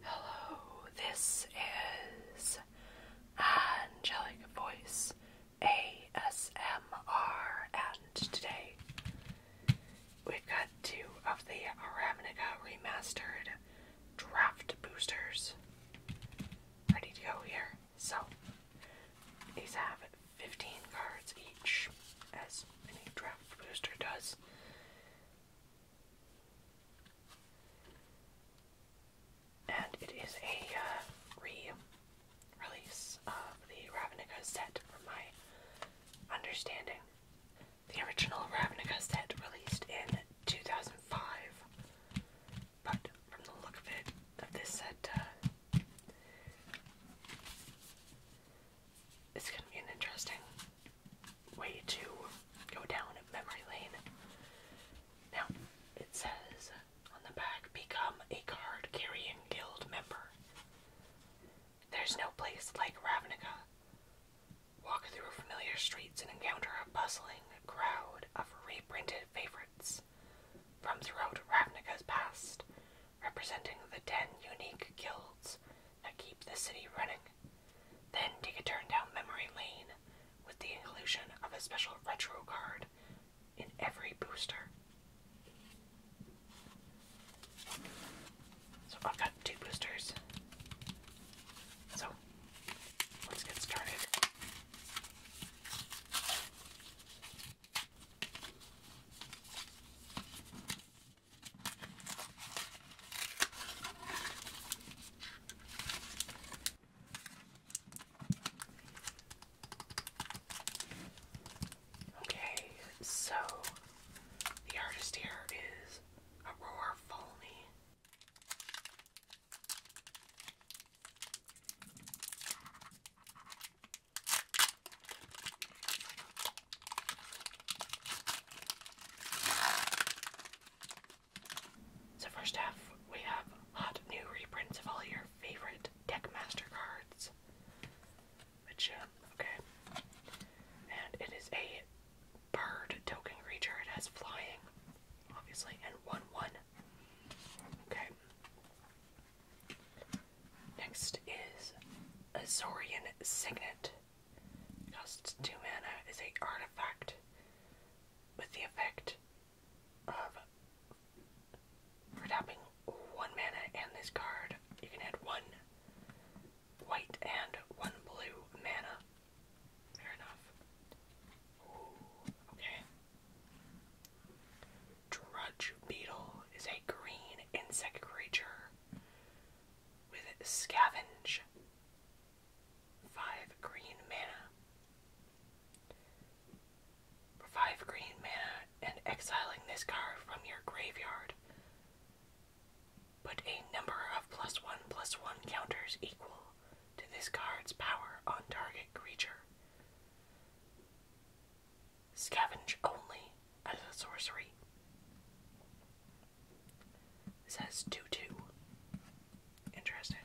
Hello, this is Angelic Voice ASMR, and today we've got two of the Ravnica Remastered Draft Boosters ready to go here. So, these have 15 cards each, as any draft booster does. And it is a uh, re release of the Ravnica set, from my understanding. The original Ravnica set released in 2005, but from the look of it, this set, uh, gonna be an interesting way to go down memory lane. Now, it says on the back, become a card carrying guild member. There's no place like Ravnica. Walk through familiar streets and encounter a bustling crowd of reprinted favorites from throughout Ravnica's past, representing the ten unique guilds that keep the city running. Then take a turn down memory lane with the inclusion of a special retro card in every booster. So I've got two boosters. So let's get started. Okay, so the artist here is Aurora Folney. So first half, we have hot new reprints of all your favorite Deckmaster cards. Which, um, okay. And it is a bird token creature. It has flying, obviously, and 1 1. Okay. Next is Azorian Signet. Costs 2 mana is a artifact with the effect of for tapping 1 mana and this card, you can add 1 white and 1 blue mana. Fair enough. okay. Drudge Beetle is a green insect creature with Scavenge. 5 green mana. For 5 green mana and exiling this card from your graveyard. Put a number of plus 1 plus 1 counters equal to this card's power on target creature. Scavenge only as a sorcery. This has 2 2. Interesting.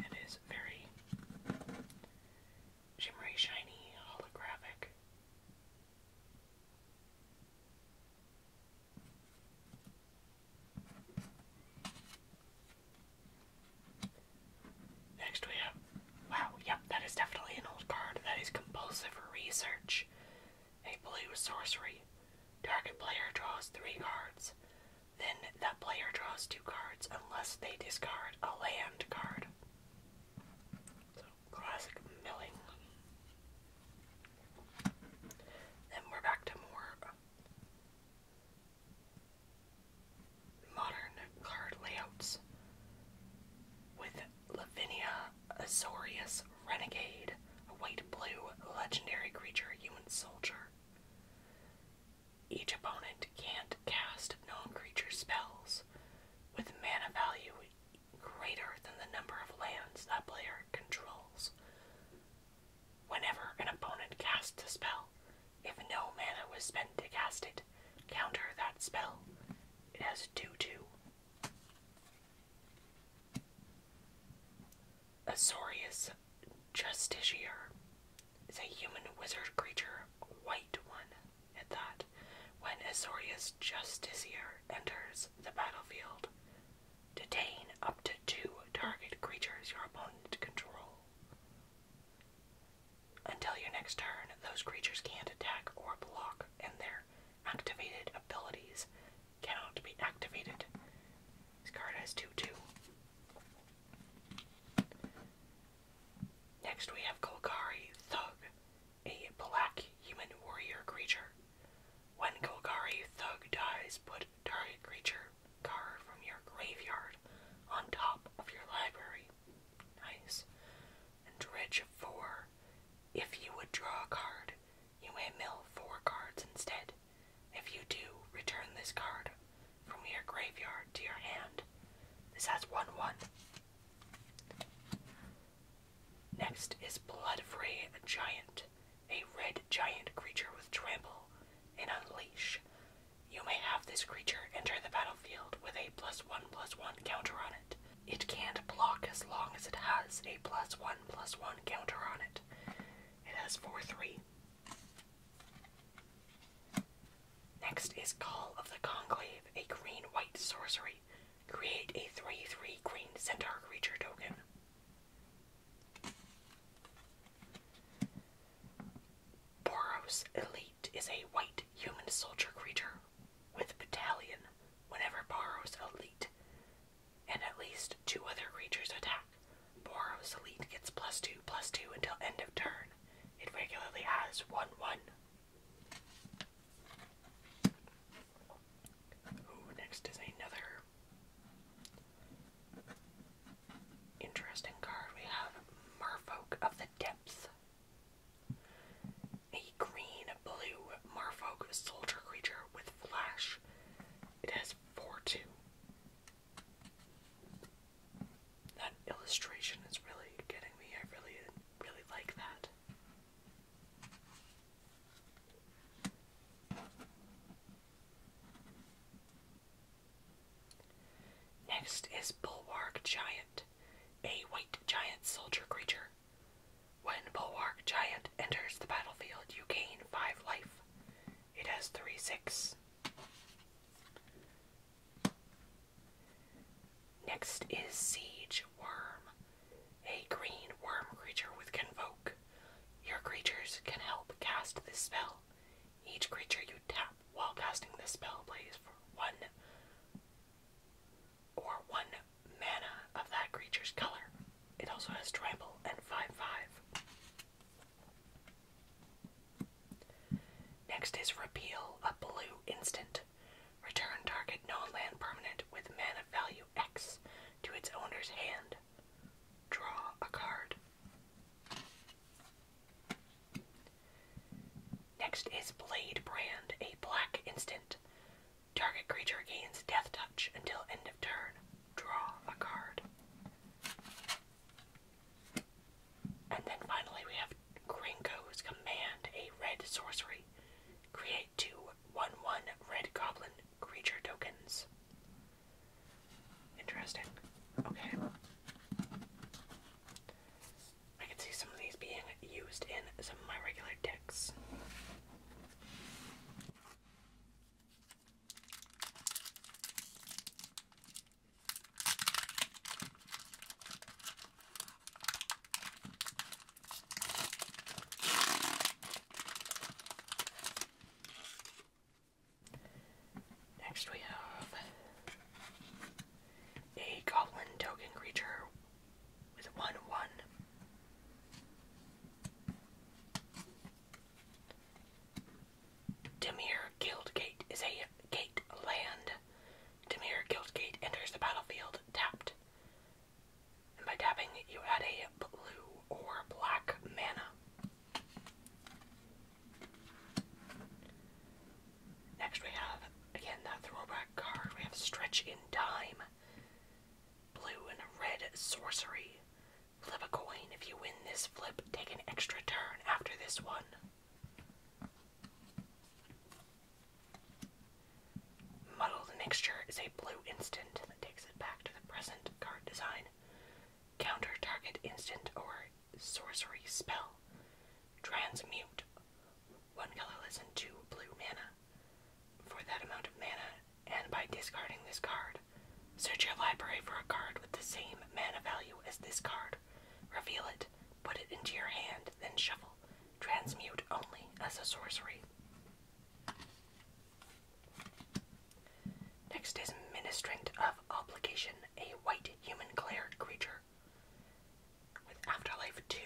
It is very shimmery, shiny, holographic. Next we have, wow, yep, that is definitely an old card. That is compulsive research. A blue sorcery. Target player draws three cards. Then that player draws two cards unless they discard a land card. So, classic milling. Then we're back to more modern card layouts with Lavinia Azorius Renegade, a white blue legendary creature human soldier. Each opponent can't cast known creature spells with mana value greater than the number of lands that player controls. Whenever an opponent casts a spell, if no mana was spent to cast it, counter that spell. It has 2 2. Azorius Justiciar is a human wizard creature, white one at that. When Azorius Justiciar enters the battlefield, detain up to two target creatures your opponent control. Until your next turn, those creatures can't attack or block, and their activated abilities cannot be activated. This card has 2 2. Next, we have Golgari Thug, a black human warrior creature. When Golgari Thug dies, put target creature card from your graveyard on top of your library. Nice. And dredge 4 if you would draw a card, you may mill four cards instead. If you do, return this card from your graveyard to your hand. This has 1 1. Next is Blood Ray Giant, a red giant creature with trample and unleash. You may have this creature enter the battlefield with a plus 1 plus 1 counter on it. It can't block as long as it has a plus one plus one counter on it. It has four three. Next is Call of the Conclave, a green white sorcery. Create a 3 3 green centaur creature token. Boros Elite is a white human soldier creature with Battalion whenever Boros Elite and at least two other creatures attack. Boros Elite gets plus two plus two until end of turn. It regularly has one one. Ooh, next is another interesting card. We have Merfolk of the Depths. A green blue Marfolk soldier creature with flash. It has 4 2. That illustration is really getting me. I really, really like that. Next is Bulwark Giant, a white giant soldier creature. When Bulwark Giant enters the battlefield, you gain 5 life. It has 3 6. Next is Siege Worm, a green worm creature with Convoke. Your creatures can help cast this spell. Each creature you tap while casting this spell plays for 1 or one mana of that creature's color. It also has tribal and 5-5. Next is Repeal, a blue instant. Return target non-land permanent with mana value X to its owner's hand. Draw a card. Next is Blade Brand, a black instant. Target creature gains Death Touch until end of turn. Draw a card. And then finally we have Gringo's Command, a red sorcery. Create two one-one red goblin creature tokens. Interesting. Okay. I can see some of these being used in some of my regular decks. Next we have a goblin token creature with one one. Demir Guildgate is a gate land. Demir Guildgate enters the battlefield tapped. And by tapping, you add a blue or black mana. Next, we have again that throwback card. We have Stretch in Time, blue and red sorcery. Flip a coin. If you win this flip, take an extra turn after this one. Muddle the mixture is a blue instant that takes it back to the present card design. Counter target instant or sorcery spell. Transmute one colorless and two blue mana. For that amount of mana, and by discarding this card, search your library for a card with the same mana value as this card. Reveal it, put it into your hand, then shuffle. Transmute only as a sorcery. Next is Ministrant of Obligation, a white human cleric creature with Afterlife 2,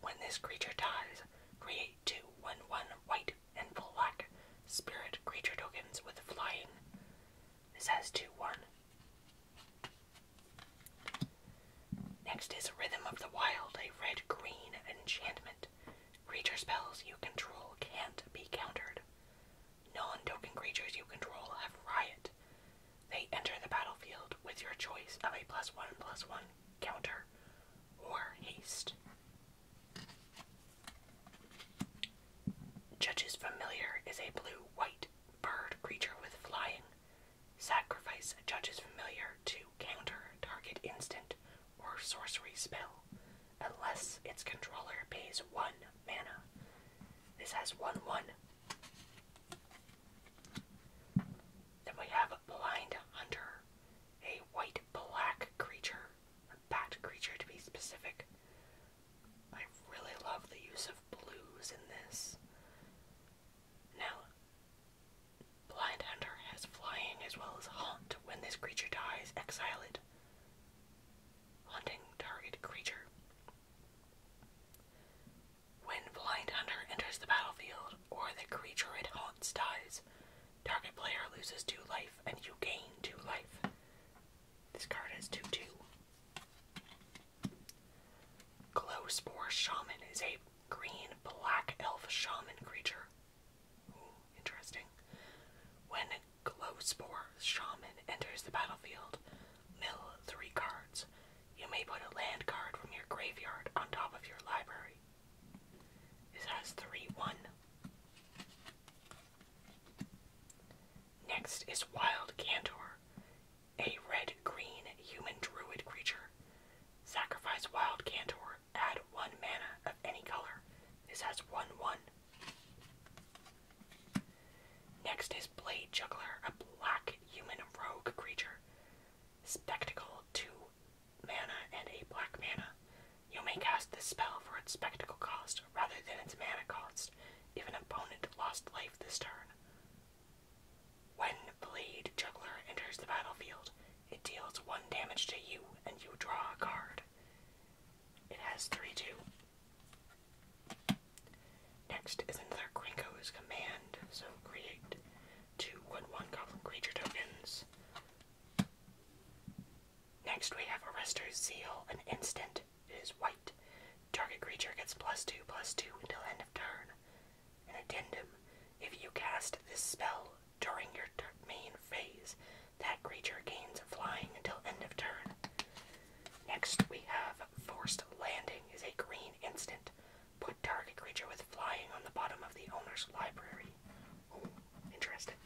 when this creature dies, create two one one white and black spirit creature tokens with flying. This has 2 1. Next is Rhythm of the Wild, a red green enchantment. Creature spells you control can't be countered. Non token creatures you control have riot. They enter the battlefield with your choice of a plus one plus one counter or haste. Judge's Familiar is a blue white bird creature with flying. Sacrifice Judge's Familiar to counter target instant or sorcery spell unless its controller pays one mana. This has 1 1 then we have Blind Hunter, a white black creature, a bat creature to be specific. I really love the use of blues in this. Now, Blind Hunter has flying as well as haunt. When this creature dies, exile it. Haunting target creature. When Blind Hunter enters the battlefield or the creature it haunts dies, target player loses 2 life and you gain 2 life. This card has 2 2. Glow Spore Shaman is a green black elf shaman creature. interesting. When Glow Spore Shaman enters the battlefield, mill 3 cards. You may put a land card from your graveyard on top of your library. This has 3 1. Next is Wild Cantor, a red green human druid creature. Sacrifice Wild Cantor, add 1 mana of any color. This has 1 1. Next is Blade Juggler, a black human rogue creature. Spectacle 2 mana and a black mana. You may cast this spell for its spectacle cost rather than its mana cost if an opponent lost life this turn. When Blade Juggler enters the battlefield, it deals 1 damage to you and you draw a card. It has 3 2. Next is another Gringo's command, so create two wood one goblin creature tokens. Next we have Arrester's Zeal, an instant. It is white. Target creature gets plus two plus two until end of turn. An addendum. If you cast this spell during your main phase, that creature gains flying until end of turn. Next, we have Forced Landing is a green instant. Put target creature with flying on the bottom of the owner's library. interesting.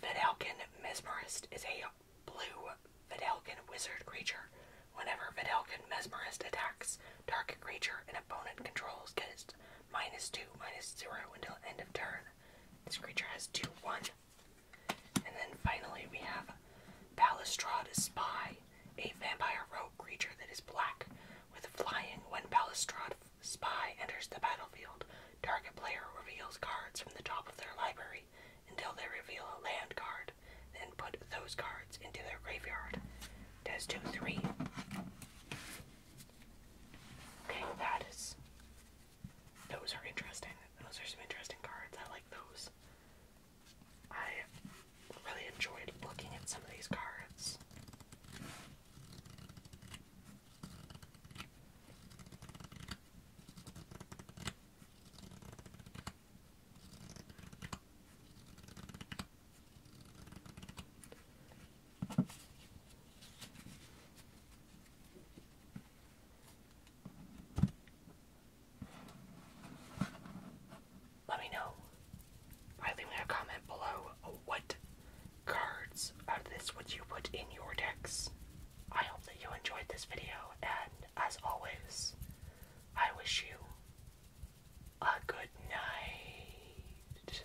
Vidalkin Mesmerist is a blue Vidalkin wizard creature. Whenever Vidalkin Mesmerist attacks, target creature an opponent controls gets minus two, minus zero until end of turn. This creature has 2 1. And then finally, we have Balustrade Spy, a vampire rogue creature that is black with flying. When Balustrade Spy enters the battlefield, target player reveals cards from the top of their library until they reveal a land card, then put those cards into their graveyard. It 2 3. Okay, that is those are interesting. Those are some interesting cards. I like those. I really enjoyed looking at some of these cards. Let me know by leaving a comment below what cards are this What you put in your decks. I hope that you enjoyed this video, and as always, I wish you a good night.